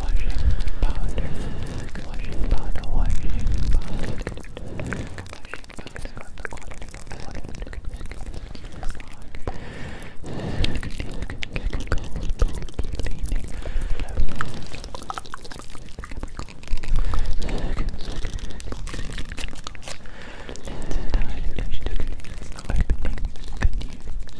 washing powder, washing powder, washing powder, washing Opening the new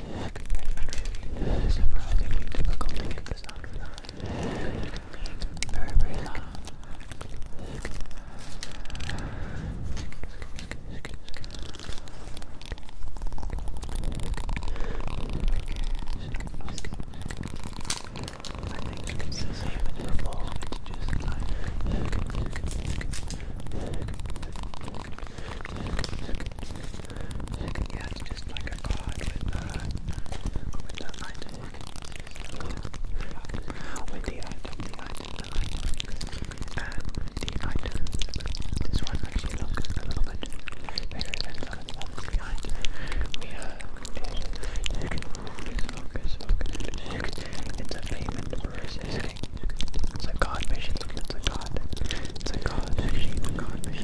It's surprisingly difficult to get the sound without. Very, very loud. I think it's the same as before, it's just like yeah, it's just like a god with, uh, with the item. With the item, the item, the item. the item. This one actually looks a little bit bigger than the ones behind. We have Focus, focus, focus. It's a payment for resisting. It's a card machine. It's a card. It's a card machine.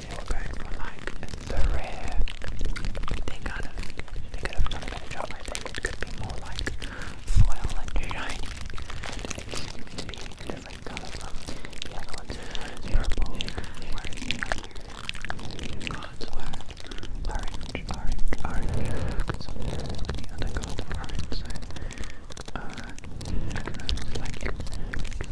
they were the rare. They kind of they could have done a better job. I could be more like foil and shiny. It different colors. The other ones the other cards were orange, orange, orange. Because the other cards orange.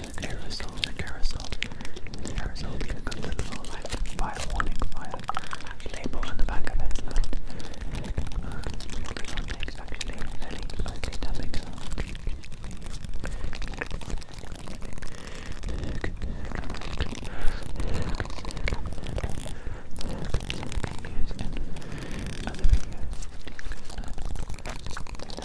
Aerosol, aerosol, aerosol being a good little like fire warning, fire label on the back of it. And, uh, what we want next actually, really likely tapping Use in other videos. Good night.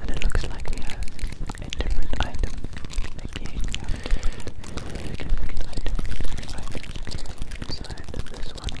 And it looks like we have different item. Again, we different item, Inside of this one,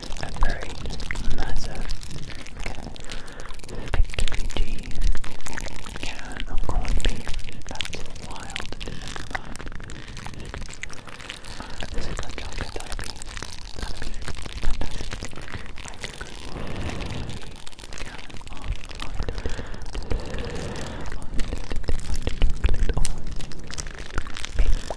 a very massive G can of corned beef. That's wild to think about. This is a chocolate that'd be, that'd be fantastic. I could can of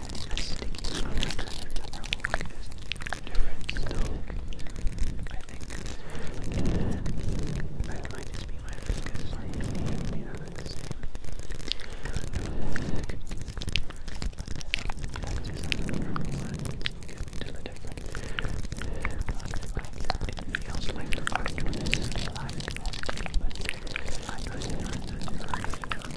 sticky is different still, I think. And that might just be my fingers, or you might be having the same. I don't know the but that's just number one. You can tell the difference. It feels like the orange one is light, but I know it's not.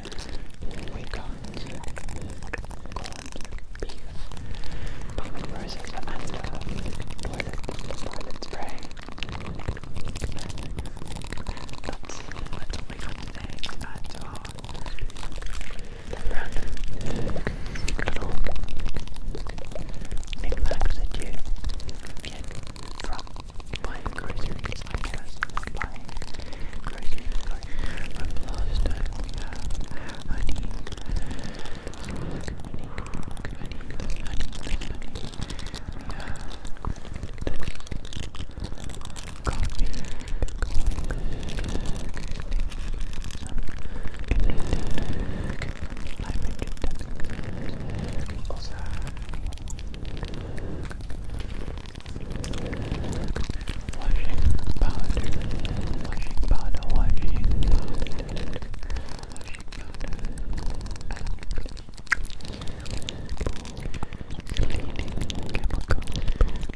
We got corned beef, pumpkin roses, Amanda, toilet, toilet spray. That's what we got today at our random little knickknack that you get from buying groceries it's like this, it's honey, honey, honey, honey, honey, washing powder, washing powder, washing powder, washing powder, cleaning chemical, Tonight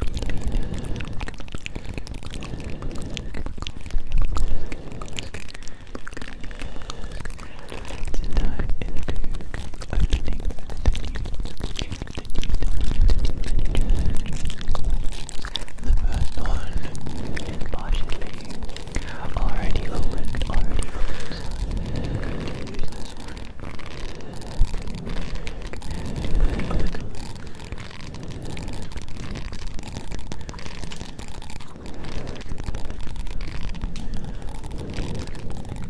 is to opening the new the first one is partially already opened, already opened. Use this one. Open.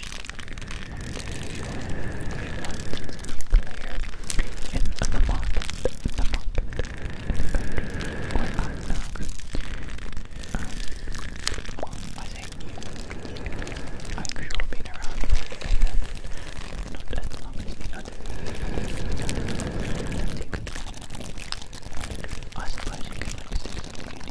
the market, in the market, um, I think I've sure been around for a second, not as long as the others. I suppose you can like say something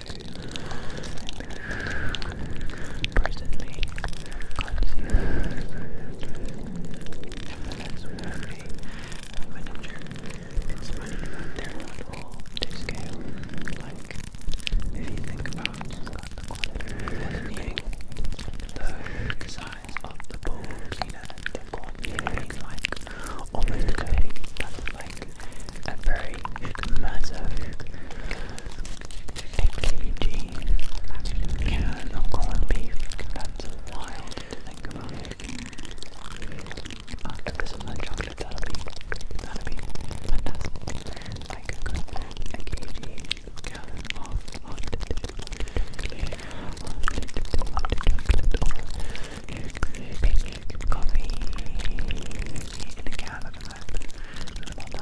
Presently, can't see Nevertheless, there not all to Like, if you think about the size of the bowl cleaner, they've got like almost a day. That's a very massive AKG. Yeah, not corned wild to think about. Uh, if there's some chocolate, that'll be, that'll be Like a coffee in a can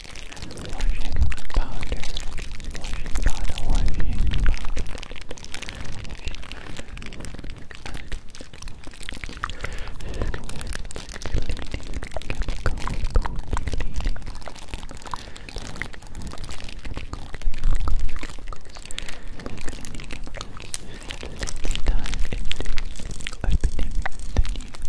washing powder, washing powder, washing powder, washing powder, cleaning chemical, cleaning Let's dive into opening the new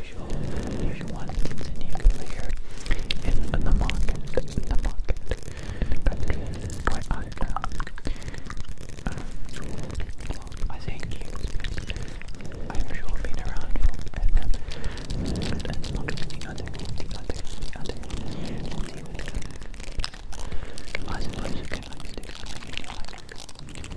usual, usual one in here in the market, in the market, in the country, where I am. I think I've sure been around for and, um, the other, the other, the other. I suppose you can actually do something in your life.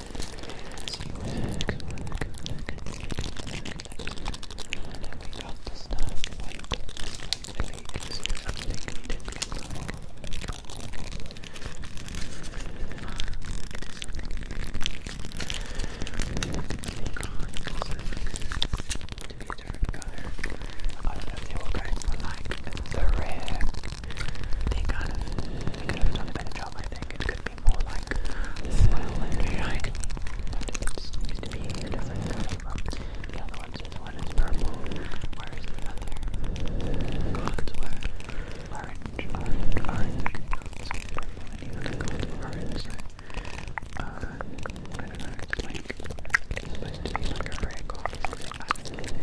they were going for like the red. They kind of, they could have done a better job, I think. It could should be more like slow and the other ones. This one is purple, whereas the other gods were orange, orange, orange. So purple orange. uh, I don't know, it's like, it's like a rare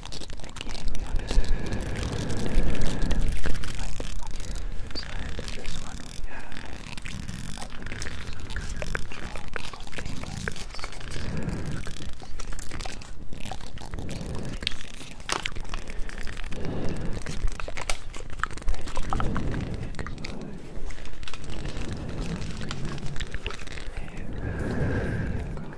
we obviously Inside of this one we have some kind of control thing like this.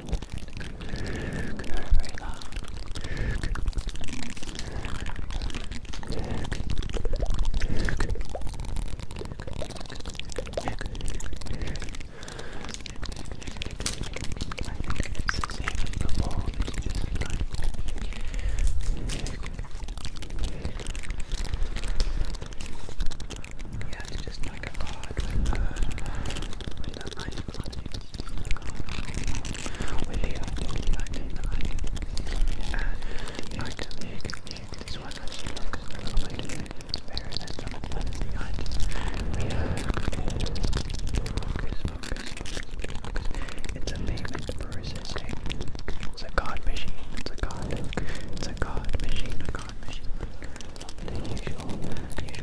very long. I think it's the same as before, it's just like yeah, it's just like a card with a, uh, with a knife on it. Willie, I don't like it, and I can make this one actually look a little bit better than some ones We have focus, focus, focus, It's a payment processing. It's a god machine. It's a god. It's a card machine. A card machine. The usual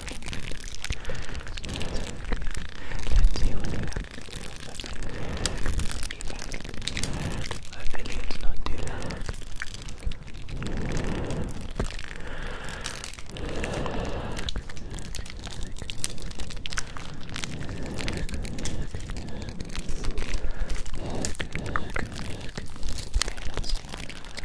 Let's see what happens. Hopefully it's not too loud okay, we're going for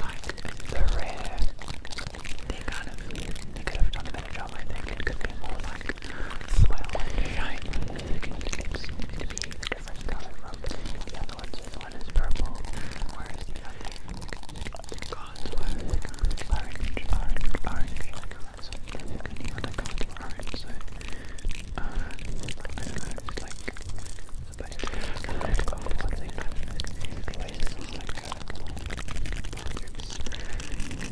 like the rare. They kind of they could have done a better job I think. It could be more like Soil and shine thickened lips be different color the other ones. one is purple, whereas the other gods were orange, orange, orange. So any other gods were orange, so uh, I don't know, it's like supposed to be kind of one thing, I don't know, it's like a, like a,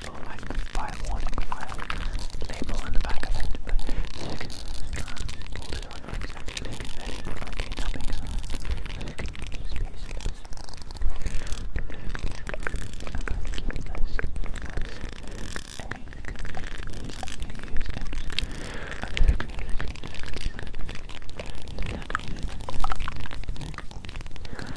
little like fire warning fire label on the back of it, but like uh, all this artwork is actually very funky tapping around. Like, spaces. I'm going to keep this as a Use and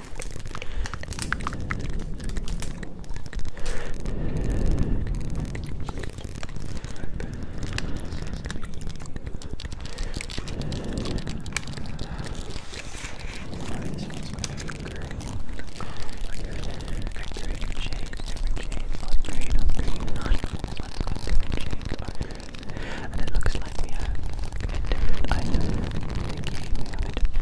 and it looks like we have different items in the game. We have it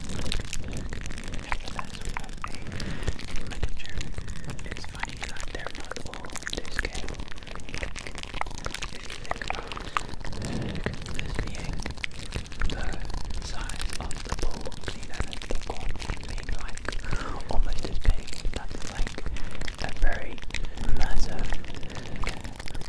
It's funny that they're not all to scale. If you think this being the size of the ball cleaner the corn like almost as big, like a very massive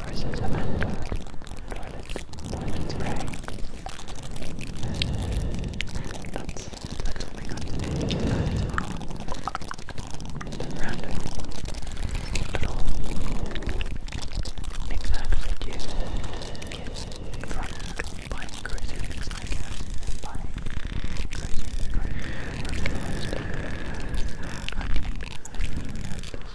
versus Amanda. Toilet, toilet spray. That's, that's what we got today. That's random. Little knickknacks that you get drunk buying groceries, I guess. Buying groceries, right? That's the most. I think that's also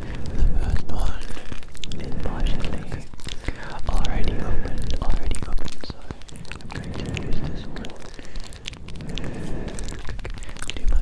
The first one is partially already opened, already opened, so I'm going to use this one. Very, very loud.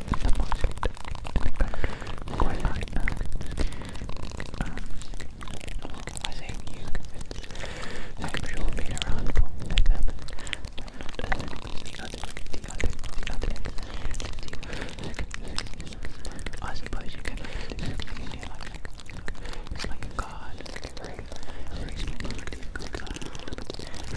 the most in the country going right now. Um, I say you can sure be around for the family. And the other, the other, the other, the other. I suppose you can you know, like, it's like a card, it's like a very, very small card.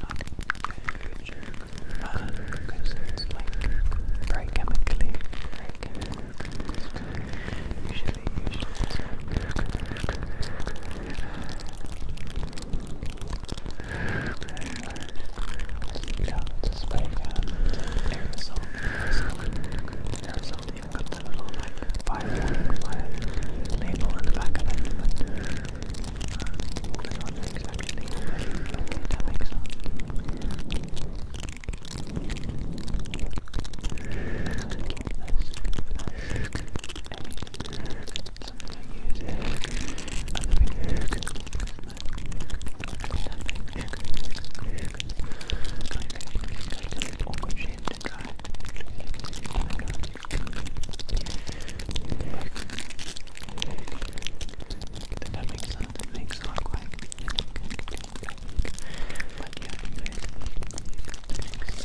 not because it's like very chemically, very chemically. Usually, usually it's yeah, it's a spray can. Aerosol, aerosol, aerosol. You've got the little like fire, fire label on the back of it. But Kind of awkward shape to try. I don't know. The tapping sound it makes are quite but yeah, Let's see what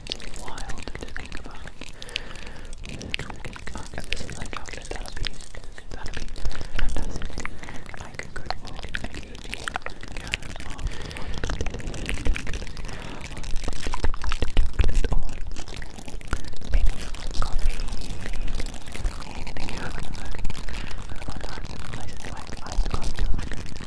that's wild to think about. Okay, this is like chocolate, that'll be, that'll be fantastic. Like a good book, like a good deal. Yeah, oh, Maybe coffee, anything you have in the bag. There are lots of places like iced coffee, like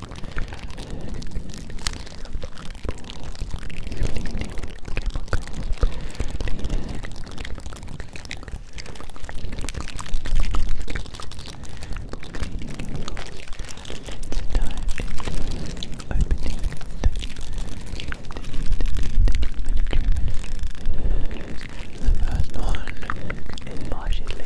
The first one is partially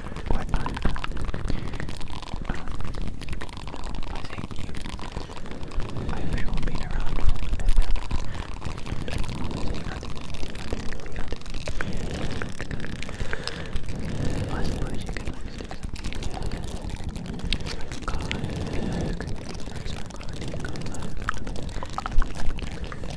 or um, um, I thank you. I've sure been around for a little bit. I suppose you can always do something. God, look. Sorry, God, God, God.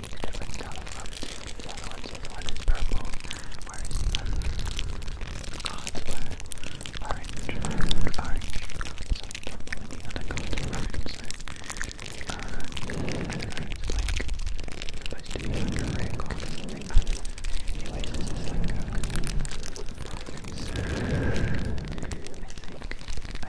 a different color from the other ones. This one is purple, whereas the other cards were orange and orange. So you can when the other cards were orange. So, uh, I don't know, it's like supposed to be like a rare card or something. Anyway, this is like a problem. So, I think I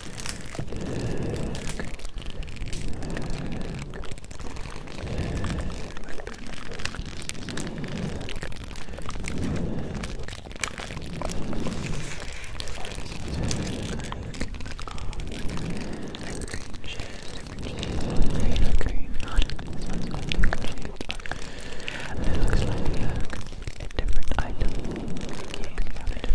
It looks like uh, a different item. Yeah,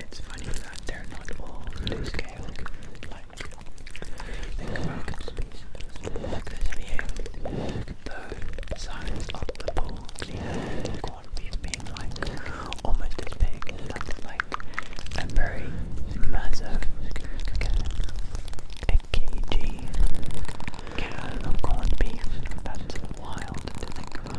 It's funny that they're not all to scale. Like, think about the size of the pool cleaner quantities like almost as big as like a very massive a can of That's wild to think about.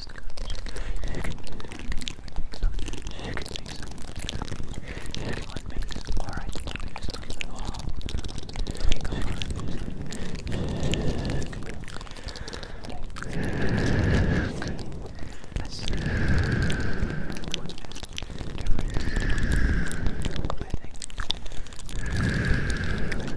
taste good. You can make some. You can make some. You can like make this. Alright, let me just look at the wall. You can make this. Let's see. What's best? Different. I think.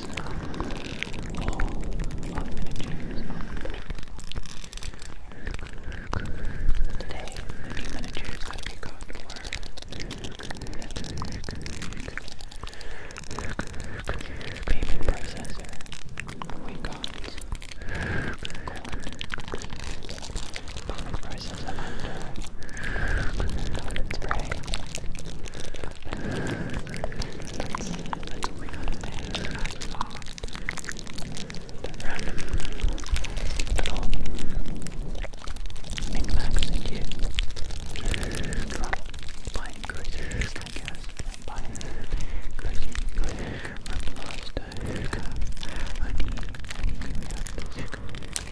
Today, the new miniature is going to be called Word. Payment processor. We got Payment processor under Let's pray. Let's, let's Let's follow the random little knickknacks they give. From buying groceries, I guess. Buying groceries. Remember last time we have I think we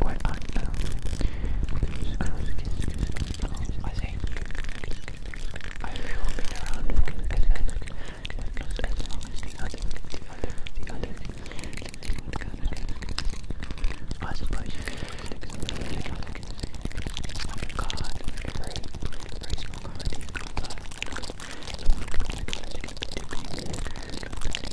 Where are you now? I think I've been around as, as, as long as the other, the other, the other. I suppose you can look at the I've got a very, very small card. But, I don't know. So, I'm going to go to the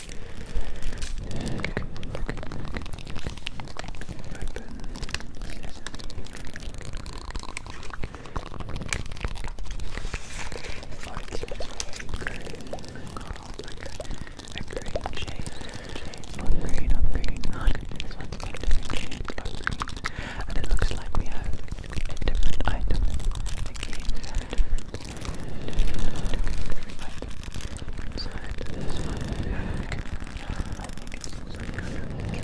green, on green, on green. This one's got a different shade of green. And it looks like we have a different item. I think we have a different, different, different, different item side to this back. I think it's just like particularly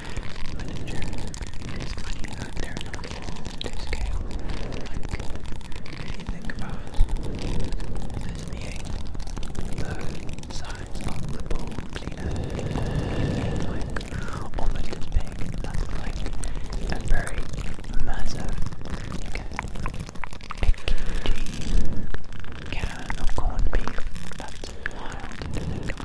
Manager there on a to scale. you think about this being the size of the bowl cleaner, it's like almost oh big. That's like a very massive like, can of corned beef. That's wild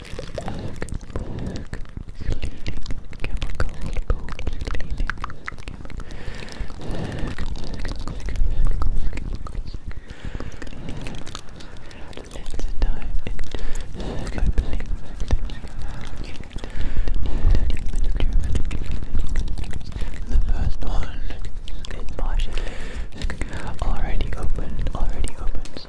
Ugh, ugh, cleaning chemical, cleaning chemical. Let's dive into opening the first one. It's partially already opened, already opened. So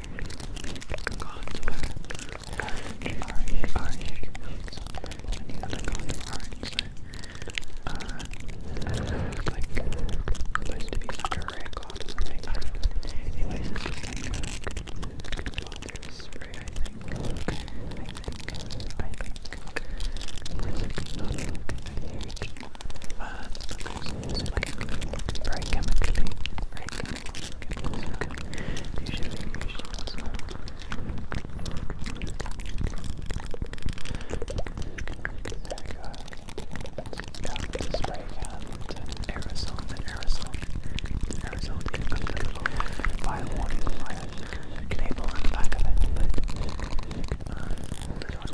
contour. Orange, orange, orange. And you gotta like supposed to be like a Anyways, it's spray, I think. I think, I think. It's like not like a huge fans because it's like very chemically, very chemical, chemical usually, usually as well. There we go. Down with the spray can, the aerosol, the aerosol, the aerosol, the little fire warning, fire label on the back of it, but uh, this one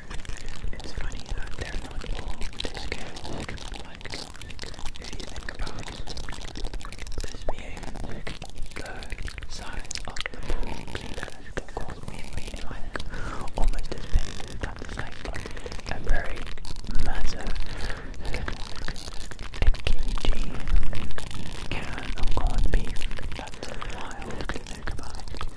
better and better. It's funny that they're not all this chaotic. Like, if you think about this being the size of the pool that has caused me really like almost as big. That is like a very massive, kg can of corned beef. That's wild to think about.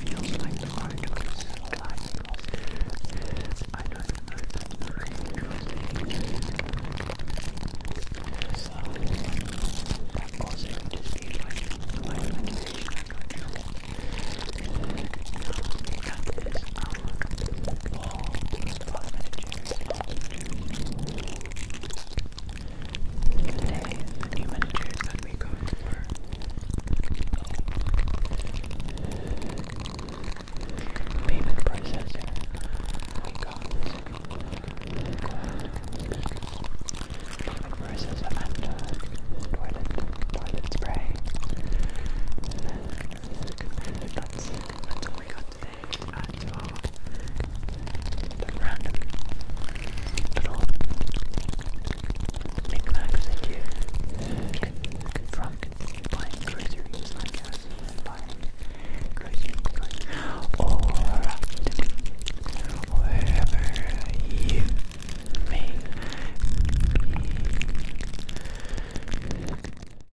feels like the articles I don't know that the so, that also could just be like my imagination, I'm not sure. Now, that is our Today, the new managers that we got were payment processor. We got payment processor and toilet, toilet spray. That's, that's all we got got random little knickknacks that you get from buying groceries, I guess, buying groceries, groceries. or wherever you may be.